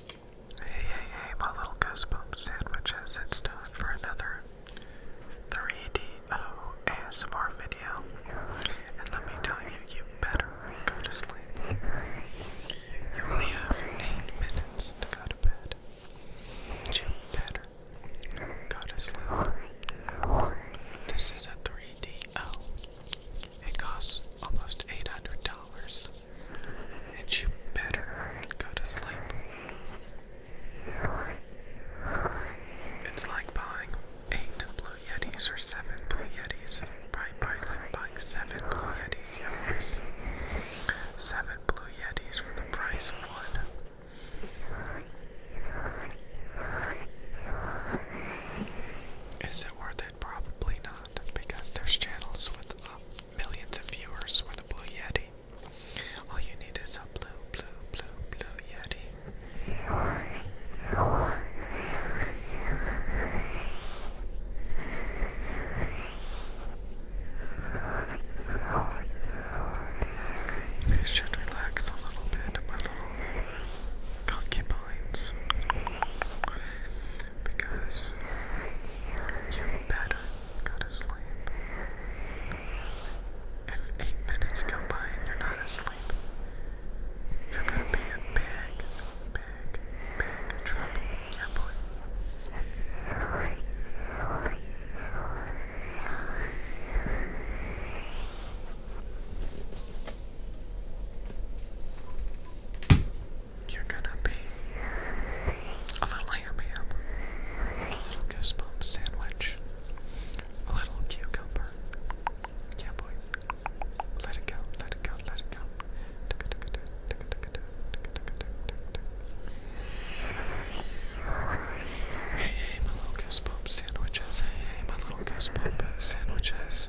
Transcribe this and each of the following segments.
Hey, hey, hey, my little Goosebump sandwiches. It's time for another 3DO ASMR video. And let me tell you, you better go to sleep. You only have 8 minutes to go to bed. You better go to sleep. This is a 3DO. It costs almost $800 and you better go to sleep. It's like buying eight Blue Yetis or seven Blue Yetis. Probably, probably like buying seven Blue Yetis, yeah, Seven Blue Yetis for the price of one. Is it worth it? Probably not, because there's channels with millions of viewers with a blue yeti. All you need is a blue, blue, blue, blue yeti. I should relax a little bit, my little concubines because you better go to sleep. If eight minutes go by and you're not asleep, you're gonna be in big, big, big trouble. Yeah, you're gonna be a little ham ham, goosebump sandwich, a little cucumber. Yeah, boy. Let it go, let it go, let it go. Hey, my little goosebump sandwiches. hey, my little goosebump sandwiches.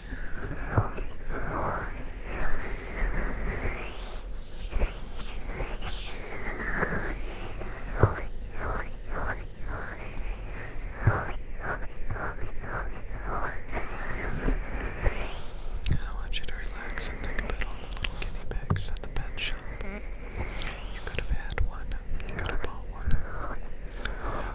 I want you to relax and think about all the little guinea pigs at the pet shop. You could have had one. You could have bought one. Oh.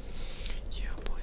Yeah, boy.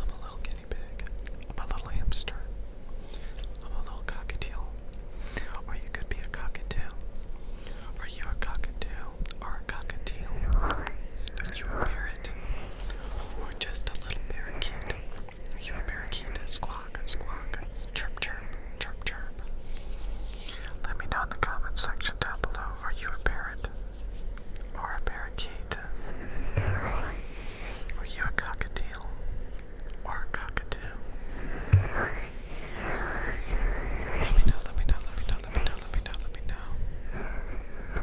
I'm a little guinea pig. I'm a little hamster. I'm a little cockatiel. Or you could be a cockatoo. Or you're a cockatoo or a cockatiel. You're a parrot. Or just a little parakeet. You're a parakeet. Squawk, squawk. Chirp, chirp, chirp, chirp. Let me know in the comment section down below. Are you a parrot? Or a parakeet? Are you a cockatiel? Or a cockatoo? Let me know, let me know, let me know, let me know, let me know, let me know.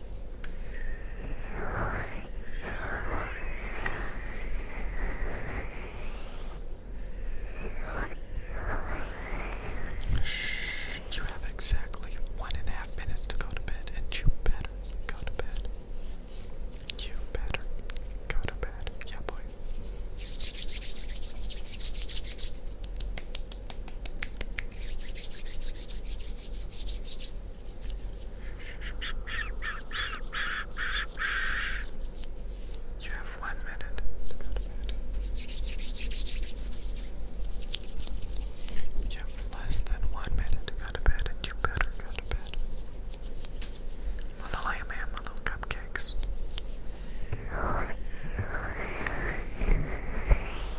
Shh, you have exactly one and a half minutes to go to bed, and you better go to bed. You better go to bed. Yeah, boy. You have one minute You have less than one minute to go to bed, and you better go to bed. Little lamb and little cupcakes.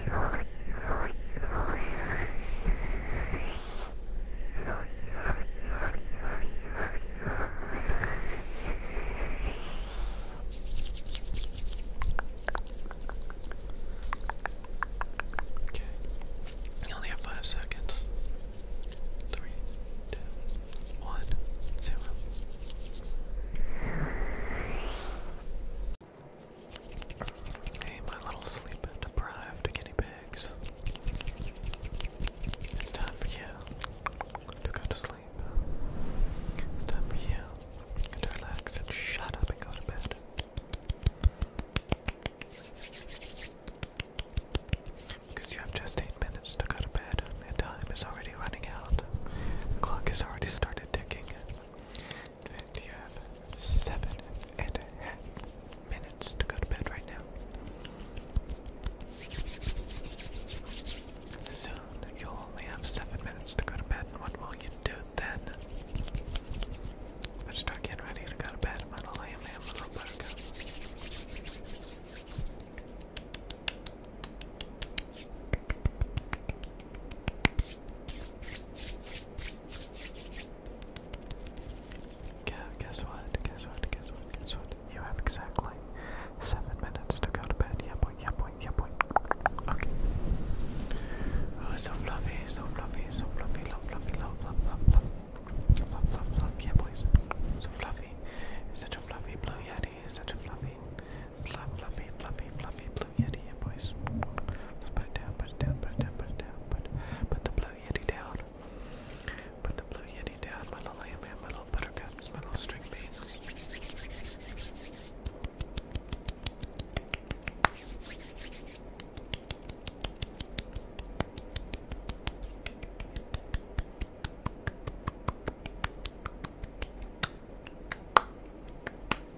Okay. You only have five seconds. Three, two, one, zero. Hey, my little sleep deprived guinea pigs. It's time for you to go to sleep. It's time for you to relax and shut up and go to bed. Because you have just eight minutes to go to bed, and time is already running out. The clock has already started ticking. And you have seven and a half minutes to go to bed right now. Soon you'll only have seven minutes to go to bed, what will you do then? I start getting ready to go to bed, my little lamb, a little buttercup. Guess what? Guess what? Guess what? Guess what? You have exactly seven minutes to go to bed. Yeah, boy. Yeah, Okay. Oh, so fluffy. So fluffy. So fluffy. Love, fluffy. Love, love, love, love. Love, So fluffy. Such a fluffy blue yeti. Such a fluffy. fluffy, fluffy, fluffy, blue yeti in, boys. Let's put it down, put it down, put it down, put it down, put, put the blue yeti down. Put the blue yeti down, my little lamb, my little buttercups, my little string beans. All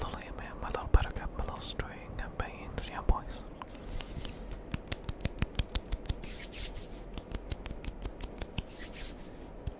my little man, my little buttercup, my little string of beans, yeah, boys.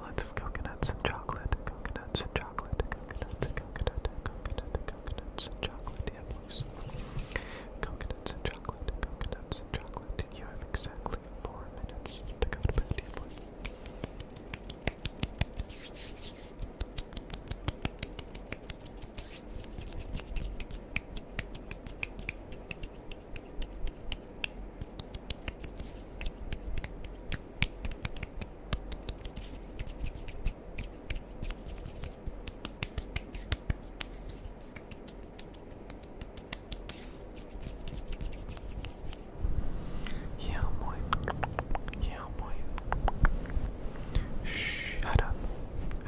Lots of coconuts and chocolate, coconuts and chocolate, coconuts and coconut, coconuts and chocolate, yeah boys. Coconuts and chocolate, coconuts and chocolate. You have exactly four minutes to go to bed, yeah boy. Yeah, boy. Yeah, boy. Shut up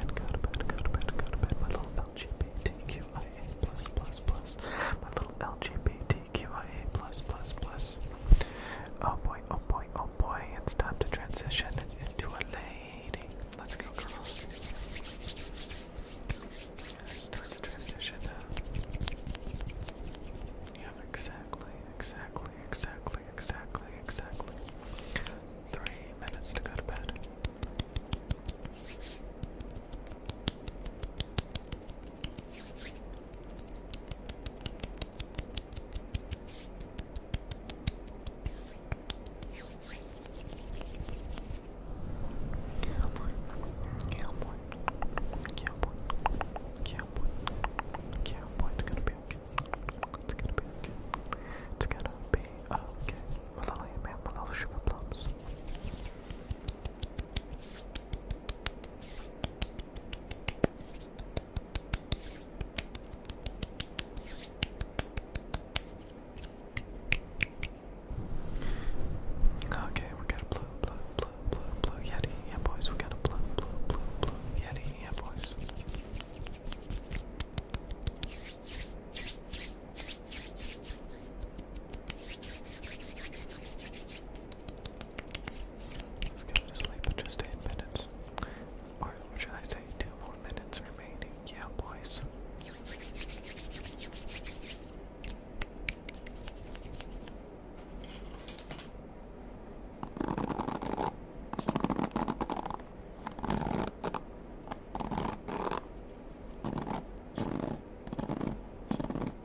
and go to bed, go to bed, go to bed. My little LGBTQIA plus plus plus. My little LGBT QIA plus plus plus. Oh boy, oh boy, oh boy, it's time to transition into a lady. Let's go, girls. It's time transition Yeah, exactly, exactly, exactly, exactly, exactly. Three minutes to go to bed. Cowboy, cowboy, cowboy, cowboy, cowboy. It's gonna be okay. It's gonna be okay. It's gonna be okay. Malala, man, Malala sugar plums. Okay, we got a blue, blue, blue, blue, blue yeti. Yeah, boys, we got a blue, blue, blue, blue yeti. Yeah, boys. Let's to sleep in just 8 minutes. Or should I say 2 more minutes remaining? Yeah, boys.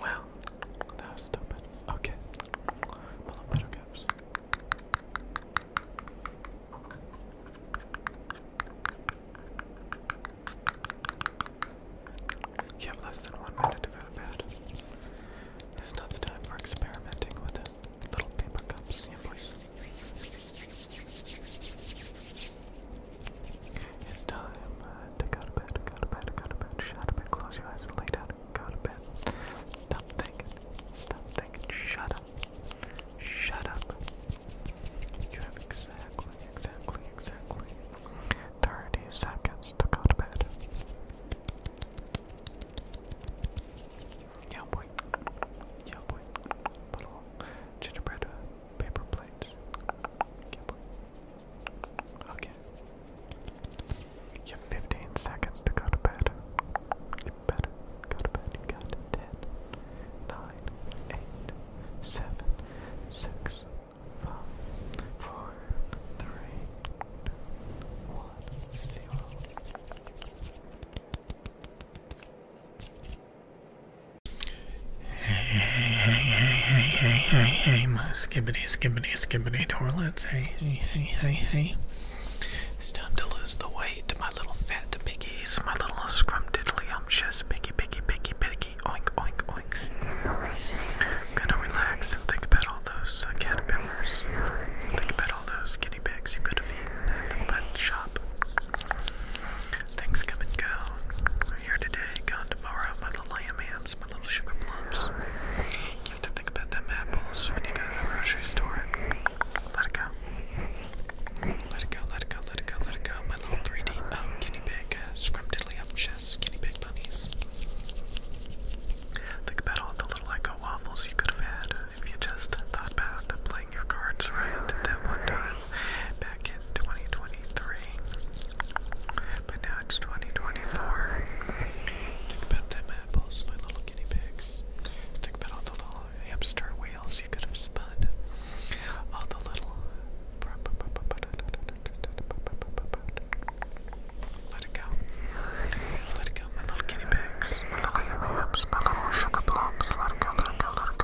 Well, that was stupid. Okay. Pull up better You have less than one minute to go to bed. This is not the time for experimenting with it. Little paper cups, yeah, please. It's time uh, to go to bed, go to bed, go to bed, shut up and close your eyes and lay down go to bed. Stop thinking, stop thinking, shut up, shut up. exactly, exactly, exactly 30 seconds to go to bed. Yeah, boy. Yeah, boy. Little gingerbread uh, paper plates. Okay. You have 15 seconds to go to bed. You better go to bed. You got 10, 9, 8, 7, 6, 5, 4, 3, 2, 1, 0. Hey, hey, hey, hey, hey, hey, hey, my skibbity, skibbity, skibbity toilets. Hey, hey, hey, hey, hey. It's time to lose the weight, my little fat piggies, my little scrumdiddlyumptious piggy, piggy, piggy, piggy, oink, oink, oinks. gonna relax and think about all those caterpillars. Think about all those guinea pigs you could have eaten at the shop. Things come and go. here today, gone tomorrow. My little lamb hams, my little sugar plums. You have to think about them apples when you go to the grocery store. Let it go. Let it go, let it go, let it go, My little 3D, guinea pig, uh, scrumptiddlyumptious guinea pig bunnies. Think about all the little Lego waffles you could have had if you just thought about playing your cards right that one time back in 2023. But now it's 2024. Think about them apples, my little guinea pigs. Think about all the little hamster wheels you could have spun. All the little. Let it go. Let it go, little guinea pigs. let it go.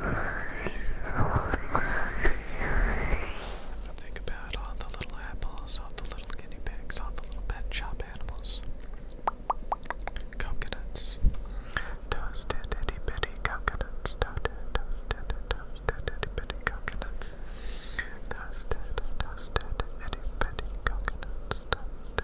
I think about all the little apples, all the little guinea pigs, all the little pet shop animals. Coconuts. Toasted itty bitty coconuts. Toasted, toasted, toasted itty bitty coconuts. Toasted, toasted itty bitty coconuts. Toasted,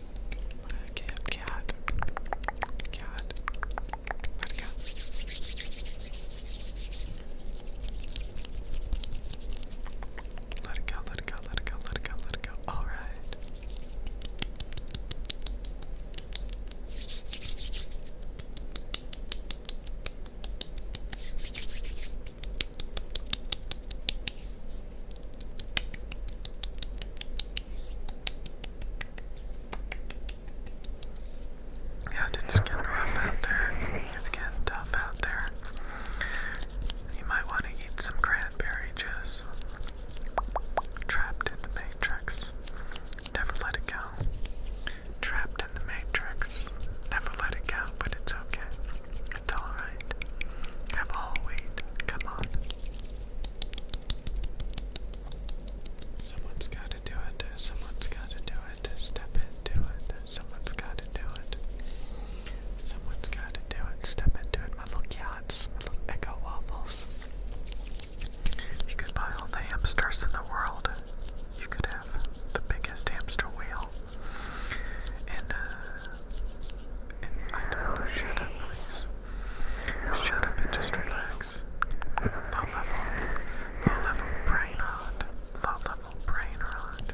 Cat, cat, cat. Where'd it go? Let it go, let it go, let it go, let it go, let it go. All right. Yeah, it's getting rough out there. It's getting tough out there. You might want to eat some cranberry juice. Trapped in the matrix. Never let it go. Trapped in the matrix. Never let it go, but it's okay. It's alright. Have a whole weed. Come on. Someone's gotta do it. Someone's gotta do it. Step into it. Someone's gotta do it. Someone's gotta do it. Step into it. My little yachts. My little echo waffles. You could buy all the hamsters in the world. You could have the biggest hamster wheel. And, uh, and I don't know, shut up, please. Shut up and just relax. Low level, low level brain rot. Low level brain rot.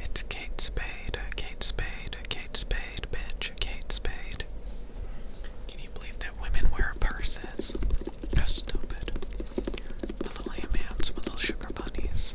It's Kate Spade, Kate Spade, Kate Spade, bitch, Kate Spade. Can you believe that women wear purses? How stupid. little ham little sugar bunnies.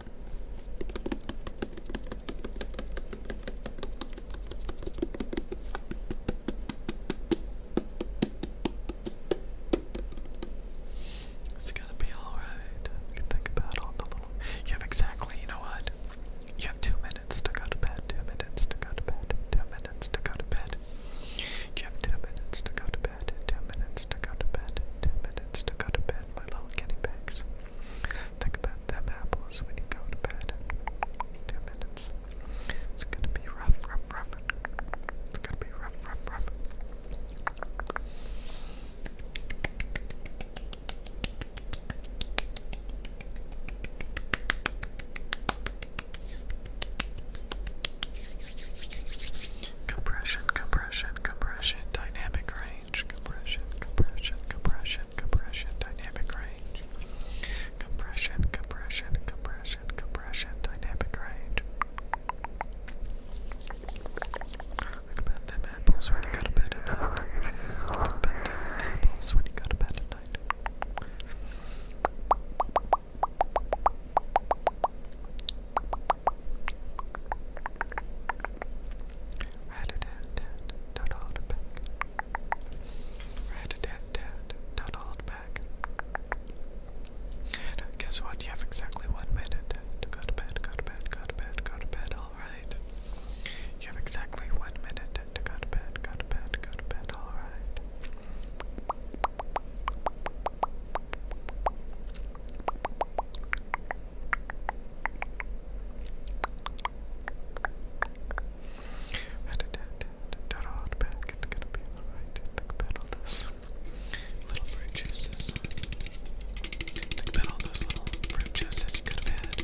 It's gonna be alright. You think about all the little. You have exactly, you know what? You have two minutes to go to bed, two minutes to go to bed, two minutes to go to bed. You have two minutes to go to bed, two minutes to go to bed, two minutes to go to bed, my little guinea pigs. Think about them apples when you go to bed. Two minutes. It's gonna be rough, rough, rough. It's gonna be rough, rough, rough. Compression, compression, compression, dynamic range compression, compression, compression, compression, dynamic range, compression, compression, compression, compression, dynamic range. Like about them apples when you go to bed at night. apples when you go to bed at night. Don't hold back. Rat-a-tat-tat. not hold back. Guess what? You have exactly one minute to go to bed, go to bed, go to bed, go to bed. Alright. You have exactly one minute to go to bed, go to bed, go to bed. Alright back, it's gonna be alright. Think about all those little fruit juices. Think about all those little fruit you could have had.